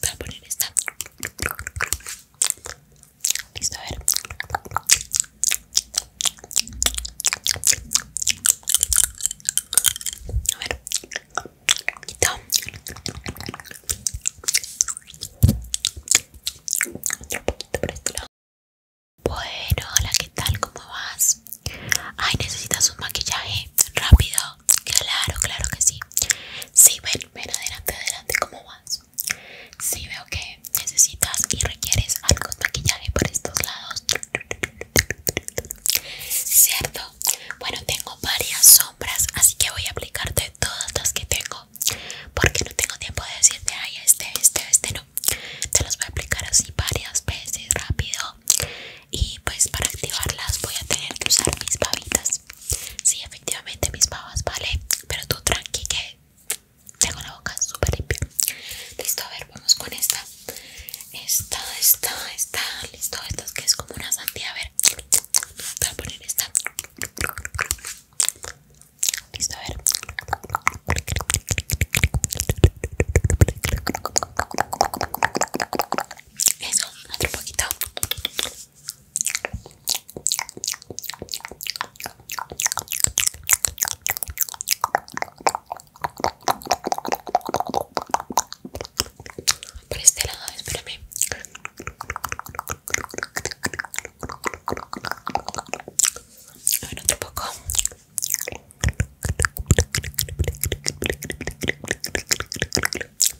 Voy a poner esta. Listo, a ver. A ver. Quito. Otro poquito por este lado. Bueno, hola, ¿qué tal? ¿Cómo vas? Ay, necesitas un maquillaje rápido claro, claro que sí. Sí, ven, ven adelante, adelante, como vas? Sí, veo que necesitas y requieres algo de maquillaje por estos lados. ¿Cierto? Bueno, tengo varias sombras, así que voy a aplicarte todas las que tengo. Porque no tengo tiempo de decirte, ay, este, este, este, no. Te los voy a aplicar así varias veces, rápido y pues para activarlas voy a tener que usar mis pavitas Sí, efectivamente mis pavas, vale Pero tú tranqui que tengo la boca súper limpia Listo, a ver, vamos con esta Esta, esta, esta Listo, esta que es como una sandía A ver, voy a poner esta Listo, a ver eso, otro poquito. Por este lado, espérame. otro poco.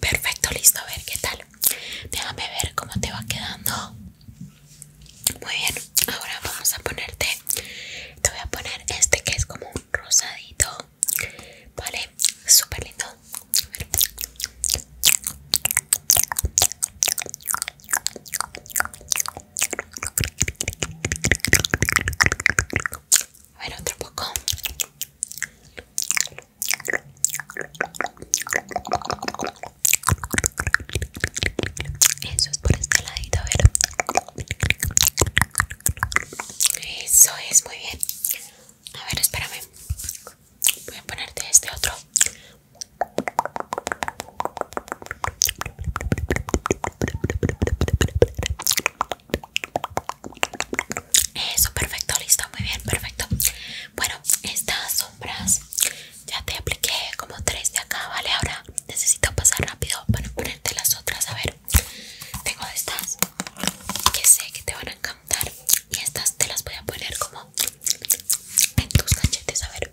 Perfecto, listo, a ver qué tal. Déjame ver cómo te va quedando. Muy bien, ahora vamos a ponerte. Te voy a poner este que es como un rosadito. Vale, súper lindo. A ver, otro poco. Eso es por este ladito, a ver. Eso es, muy bien. A ver, espérame. Voy a ponerte este otro. Eso, perfecto, listo, muy bien, perfecto. Bueno, estas sombras ya te apliqué como tres de acá, ¿vale? Ahora necesito pasar rápido para ponerte las otras. A ver, tengo estas que sé que te van a encantar y estas te las voy a poner como en tus cachetes. A ver,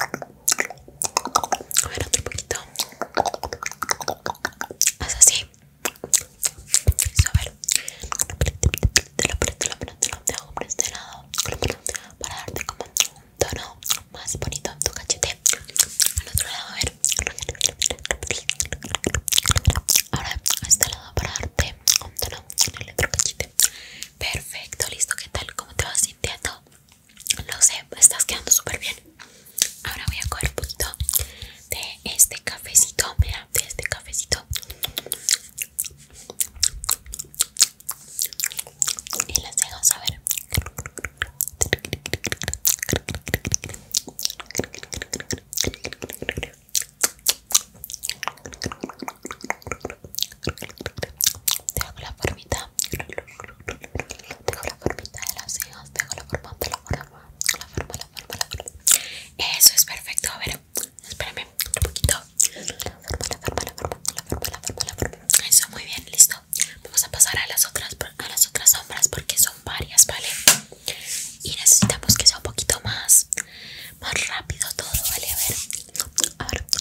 A ver, otro poquito. Haz así. a ver. Te lo pongo te lo te por este lado. Para darte como un tono más bonito en tu cachete. Al otro lado, a ver. Ahora a este lado para darte un tono en el otro cachete. Perfecto, listo. ¿Qué tal? ¿Cómo te vas sintiendo? Lo sé, estás quedando súper bien. Ahora voy a coger un poquito de este cafecito. Mira, de este cafecito. Y las dejo saber. Te hago la formita. Te la formita de las cejas. Te la forma de la forma. La forma, la forma, Eso es perfecto. A ver, espérame un poquito. La forma, la la forma, Eso, muy bien, listo. Vamos a pasar a las otras, a las otras sombras porque son varias, ¿vale? Y necesitamos que sea un poquito más, más rápido todo, ¿vale? A ver, a ver.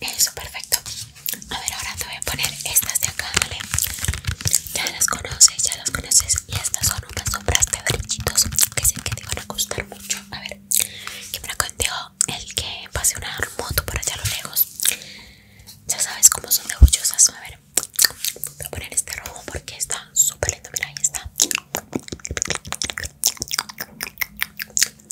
Eso, perfecto. A ver, ahora te voy a poner estas de acá, ¿vale? Ya las conoces, ya las conoces. Y estas son unas sombras de brillitos que sé que te van a gustar mucho. A ver, que me contigo el que pase una moto por allá a lo lejos. Ya sabes cómo son de orgullosas A ver, voy a poner este rojo porque está súper lindo. Mira, ahí está.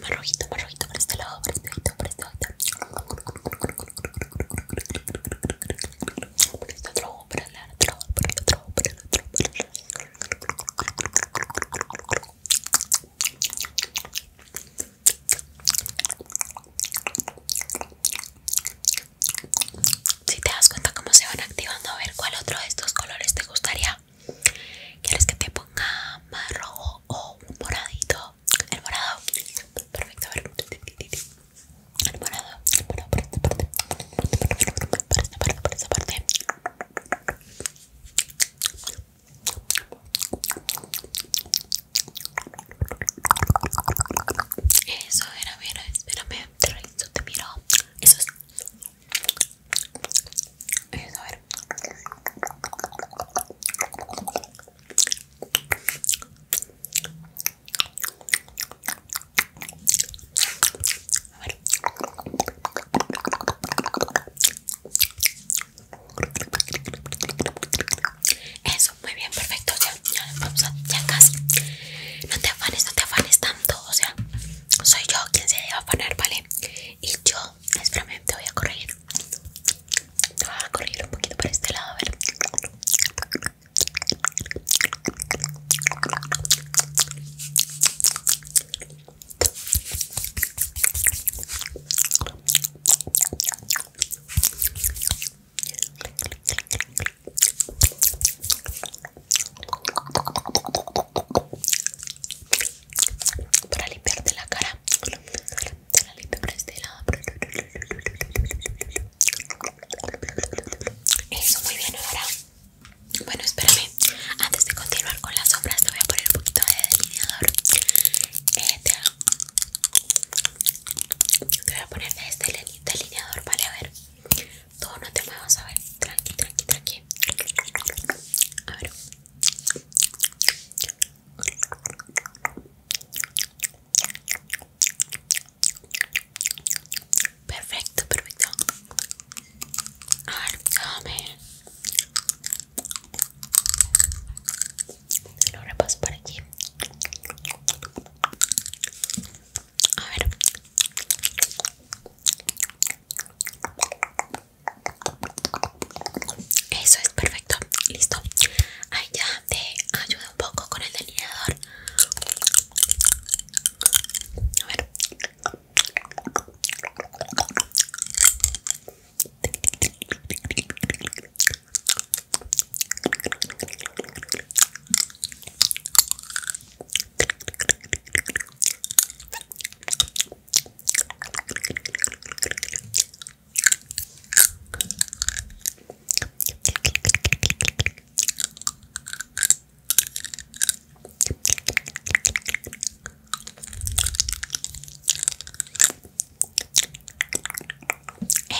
Marrojito, marrojito por este lado, por este por este lado. el el el Si te das cuenta cómo se van activando, a ver cuál otro de estos colores te gustaría ¿Quieres que te ponga más rojo o un moradito? El morado. Perfecto, a ver. El morado. El morado por esta parte. Por esta parte, por esta parte. Eso, era, mira, espérame, te hizo, te miro. Eso es. Eso, muy bien, perfecto. Ya, vamos a, ya casi. No te afanes, no te afanes tanto. O sea, soy yo quien se debe afanar, ¿vale? Y yo, esperame, te voy a corregir. Te voy a corregir un poquito para este lado, a ver para limpiarte la cara. Te la limpio por este lado. Eso, muy bien, ahora. Bueno, espérame. Antes de continuar con las sombras, te voy a poner un poquito de delineador. Este. te... voy a poner este delineador, vale, a ver. todo no te muevas, a ver. Tranqui, tranqui, tranqui. A ver. Perfecto, perfecto. A ver, Lo repaso por aquí. A ver. Eso es perfecto, listo. Ahí ya te ayuda un poco con el delineador. A ver.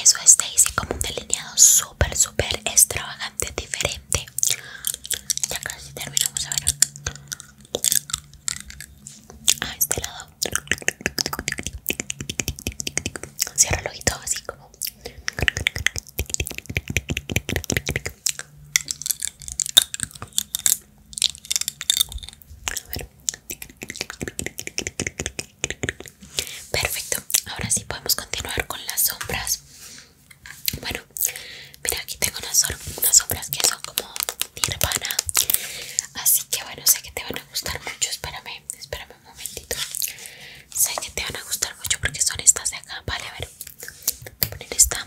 Eso es Daisy como un delineado súper, súper extravagante, diferente. Ya casi terminamos, a ver a ah, este lado cierra el ojito así como perfecto ahora sí podemos continuar con las sombras bueno, mira, aquí tengo unas, sombras que son como nirvana. Así que bueno, sé que te van a gustar mucho. Espérame, espérame un momentito. Sé que te van a gustar mucho porque son estas de acá. Vale, a ver. poner esta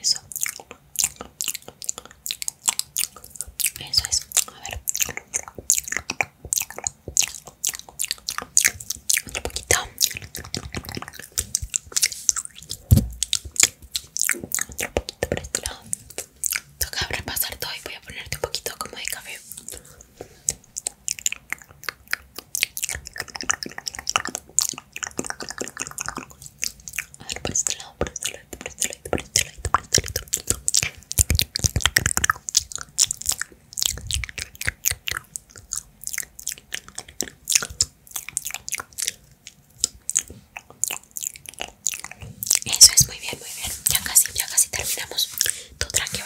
Eso. Eso es. A ver. Otro poquito. Otro poquito por este lado. Toca repasar todo y voy a ponerte un poquito como de café. A ver, este por este lado, por este lado, por este lado, por este lado, por este lado, Eso es muy bien, muy bien. Ya casi, ya casi terminamos tu tranquilo,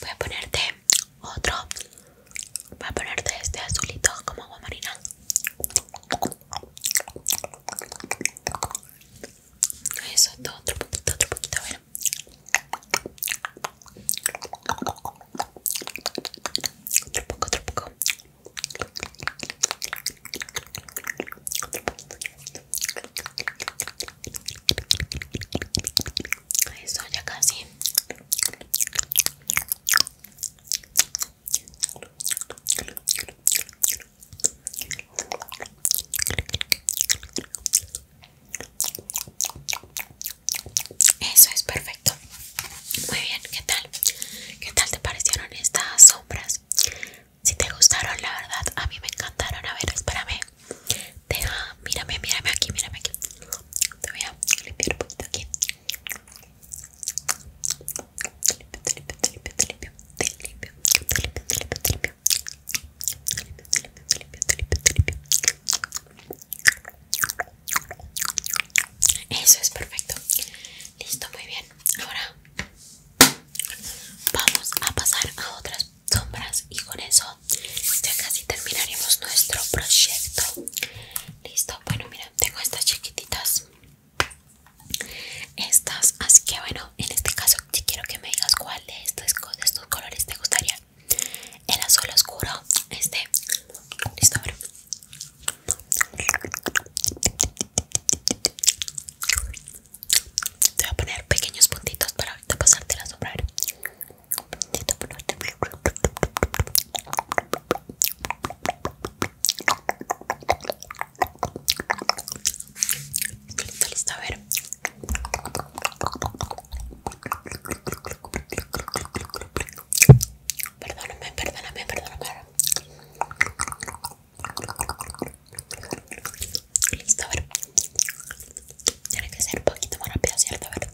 Voy a ponerte otro para a ponerte este azulito como agua marina Eso, otro poquito, otro poquito, a ver Otro poco, otro poco eso ya casi. Eso es perfecto. Muy bien, ¿qué tal? ¿Qué tal te parecieron estas sombras? Si te gustaron, la verdad, a mí me encantaron. A ver, espérame. Deja, mírame, mírame aquí, mírame aquí. Te voy a limpiar un poquito aquí. Te limpio, te limpio, te limpio, te limpio, te limpio, te limpio, te limpio, te limpio. Te limpio, te limpio, te limpio, te limpio, te limpio. Eso es perfecto. Listo, muy bien. Ahora vamos a pasar a otras sombras y con eso ya casi terminaremos nuestro proyecto listo bueno mira tengo estas chiquititas estas así que bueno en este caso quiero que me digas cuál de estos, colores te gustaría el azul oscuro este listo bueno. te voy a poner pequeños puntitos para ahorita pasártelas a sobrar Listo, listo, a ver. Perdóname, perdóname, perdóname. Listo, a ver. Tiene que ser un poquito más rápido, ¿cierto?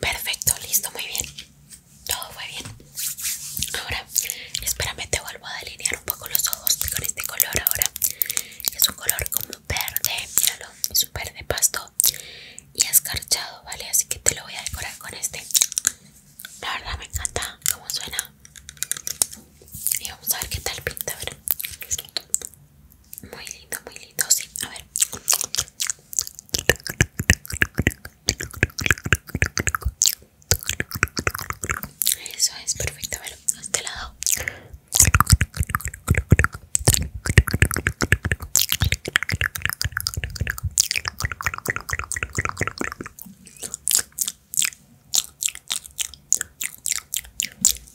Perfecto, listo, muy bien. Todo fue bien. Ahora, espérame, te vuelvo a delinear un poco los ojos con este color ahora. Es un color como verde, míralo, es un verde pasto y escarchado, ¿vale? Así que te lo voy a decorar con este. La verdad me encanta cómo suena. Y vamos a ver qué tal pinta, a muy lindo, muy lindo, sí. A ver. Eso es perfecto, a ver, a este lado.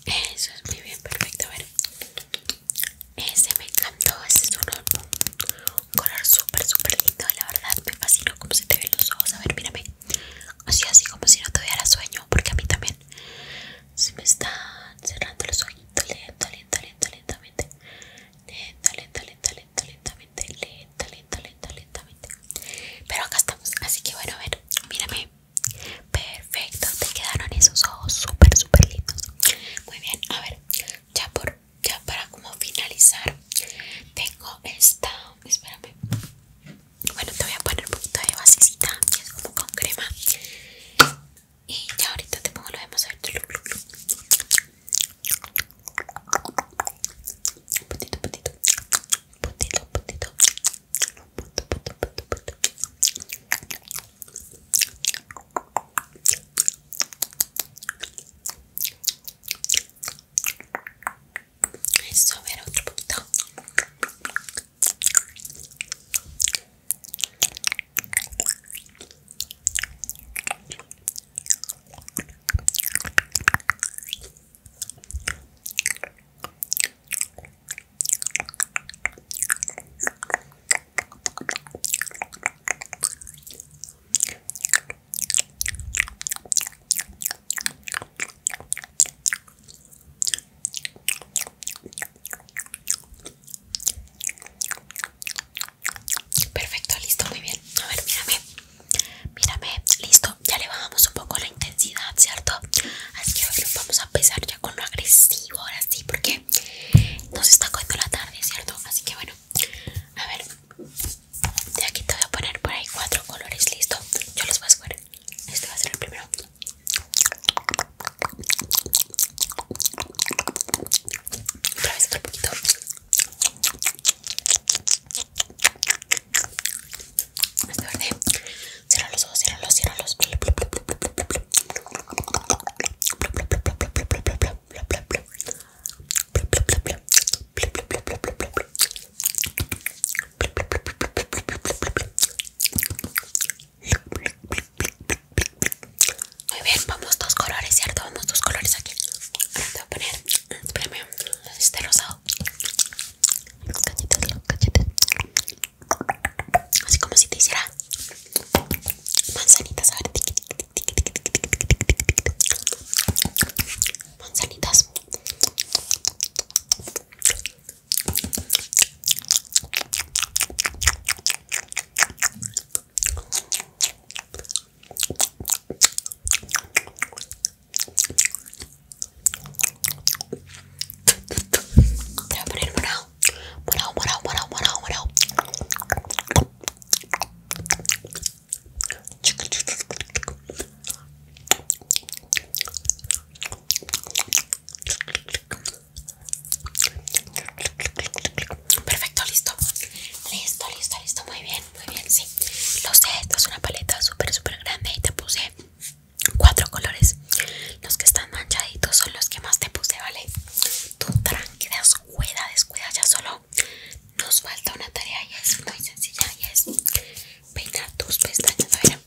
Eso es muy bien, perfecto. A ver, ese me encantó. Ese es un, un color súper, súper lindo. La verdad, me fascinó como se te ven los ojos. A ver, mírame. Así, así como si no diera sueño. Porque a mí también se me están cerrando los ojitos lento, lento, lento, lentamente. Lenta, lenta, lenta, lenta, lentamente. Lenta, lenta, lenta, lentamente. Pero acá estamos. Así que bueno, a ver, mírame. Perfecto, te quedaron esos ojos súper, súper lindos. Muy bien, a ver, ya, ya para como finalizar, tengo esta. Espérame. Bueno, te voy a poner un poquito de basecita, que es como con crema. Y ya ahorita te pongo lo demás a ver. puntito, puntito Eso, a ver otro poquito. Perfecto, listo, muy bien. A ver, mírame. Mírame, listo. Ya le bajamos un poco intensidad, ¿cierto? Así que vamos a empezar ya con lo agresivo, ahora sí, porque nos está cogiendo la tarde, ¿cierto? Así que bueno, a ver, de aquí te voy a poner por ahí cuatro colores, listo. Yo los voy a escoger. Este va a ser el primero. Otra vez poquito. Este verde. Cierra los ojos, cierra los, cierra los. Muy bien, vamos dos colores, ¿cierto? Vamos dos colores aquí. Ahora te voy a poner, espérame, este rosado. Así como si te hiciera manzanitas, Manzanitas. Te voy a poner morado, morado, morado, morado, morado, Perfecto, listo. Listo, listo, listo. Muy bien, muy bien, sí. Lo sé, esto es una paleta súper, súper grande y te puse cuatro colores. Los que están manchaditos son los que más te puse, ¿vale? Tú tranquila, cuida descuida, ya solo nos falta una tarea y es muy sencilla y es peinar tus pestañas, a ver.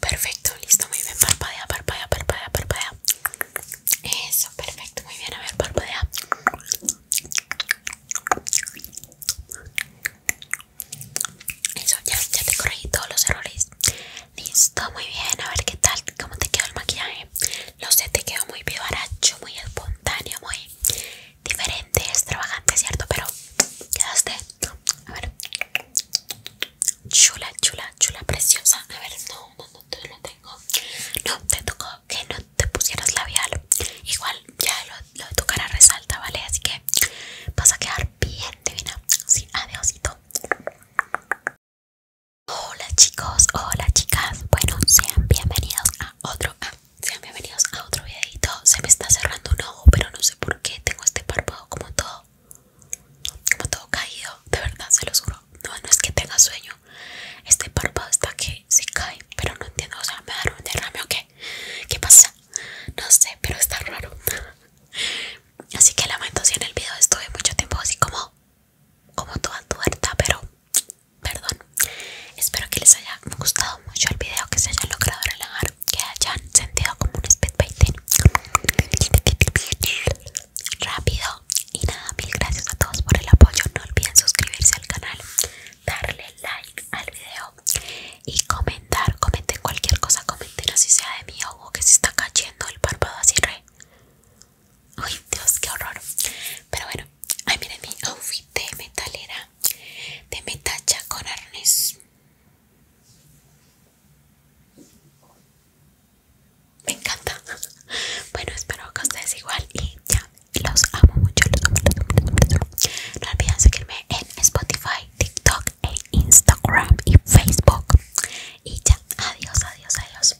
Perfecto, listo, muy bien, parpadea, parpadea, parpadea, parpadea. Eso, perfecto, muy bien, a ver, parpadea. Eso, ya, te corregí todos los errores. Listo, muy bien, a ver qué tal, cómo te quedó el maquillaje. Lo sé, te quedó muy vivaracho, muy espontáneo, muy diferente, extravagante, ¿cierto? Pero quedaste, a ver, chula, chula, chula, preciosa. A ver, no, no, no no lo tengo. No, te tocó que no te pusieras labial. Igual ya lo, lo resalta, ¿vale? Así que vas a quedar bien divina. Sí, adiósito. Hola chicos, hola chicas, bueno sean bienvenidos a otro sean bienvenidos a otro videito. Se me está cerrando un ojo, pero no sé por qué. Tengo este párpado como todo, como todo caído. De verdad, se lo juro. No, es que tenga sueño. Este párpado está que se cae, pero no entiendo. O sea, me dar un derrame o qué. ¿Qué pasa? No sé, pero está raro. Así que lamento si en el video estuve mucho tiempo así como, como toda tuerta, pero perdón espero que les haya gustado mucho el video que se hayan logrado relajar que hayan sentido como un speed painting rápido y nada mil gracias a todos por el apoyo no olviden suscribirse al canal darle like al video y comentar comenten cualquier cosa comenten si sea de mí o que se está cayendo el párpado así re Uy, Dios, qué horror. Pero bueno, ay, miren mi outfit de metalera de metacha con arnés. Me encanta. Bueno, espero que ustedes igual y ya. Los amo mucho. No olviden seguirme en Spotify, TikTok, e Instagram y Facebook. Y ya. Adiós, adiós, adiós.